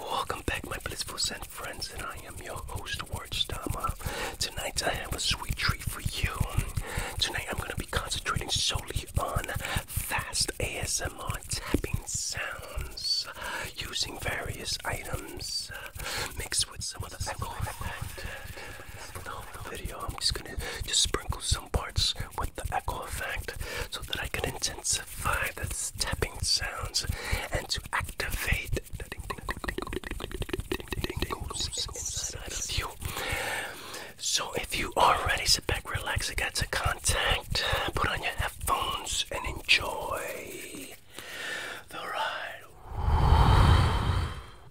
Welcome back, my blissful Zen friends, and I am your host, Ward Stama. Tonight, I have a sweet treat for you. Tonight, I'm going to be concentrating solely on fast ASMR tapping sounds using various items uh, mixed with some of the sound effect the video. I'm just gonna just sprinkle some parts with the echo effect so that I can intensify the tapping sounds and to activate the tingles you. So if you are ready, sit back, relax, get to contact, put on your headphones, and enjoy the ride.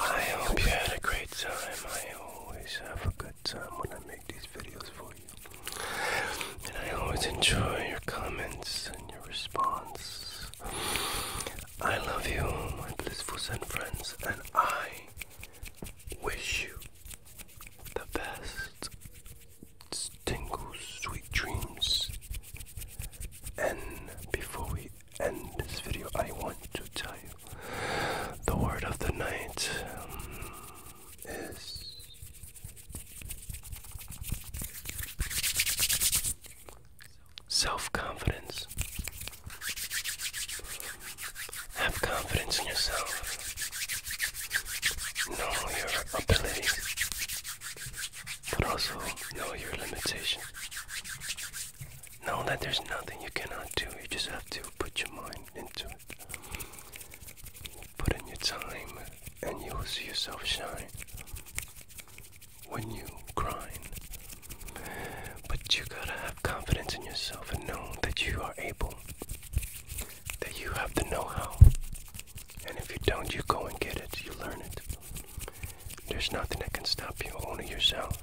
I hope you had a great time. I always have a good time when I make these videos for you. And I always enjoy your comments and your response. I love you, my blissfuls friends, and I wish you the best tingles, sweet dreams. And before we end this video, I want to tell you the word of the night. Um, is self confidence. Have confidence in yourself. Know your ability, but also know your limitations. Know that there's nothing you cannot do, you just have to put your mind into it. Put in your time and you will see yourself shine when you grind. But you gotta have confidence in yourself and know that you are able, that you have the know how. And if you don't, you go and get it, you learn it. There's nothing that can stop you, only yourself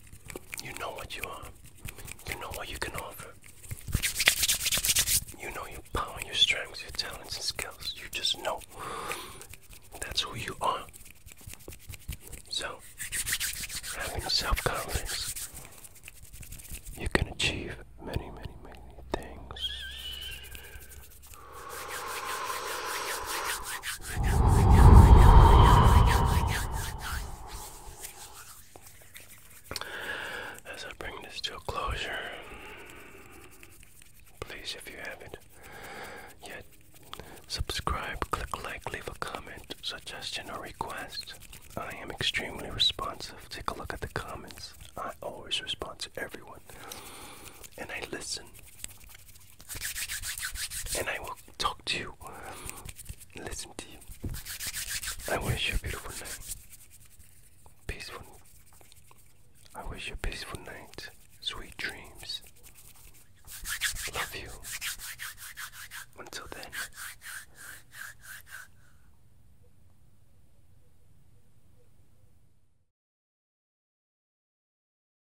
you know what you are. You know what you can offer. You know your power, your strengths, your talents, and skills. You just know that's who you are. So, having self confidence, you can achieve many, many, many things. As I bring this to a closure, please, if you haven't yet, subscribe, click like, leave a comment, suggestion, or request. I am extremely responsive. Take a look at the comments. I always respond to everyone. And I listen and I will talk to you, um, listen to you. I wish you a beautiful night, peaceful. I wish you a peaceful night, sweet dreams. Love you. Until then.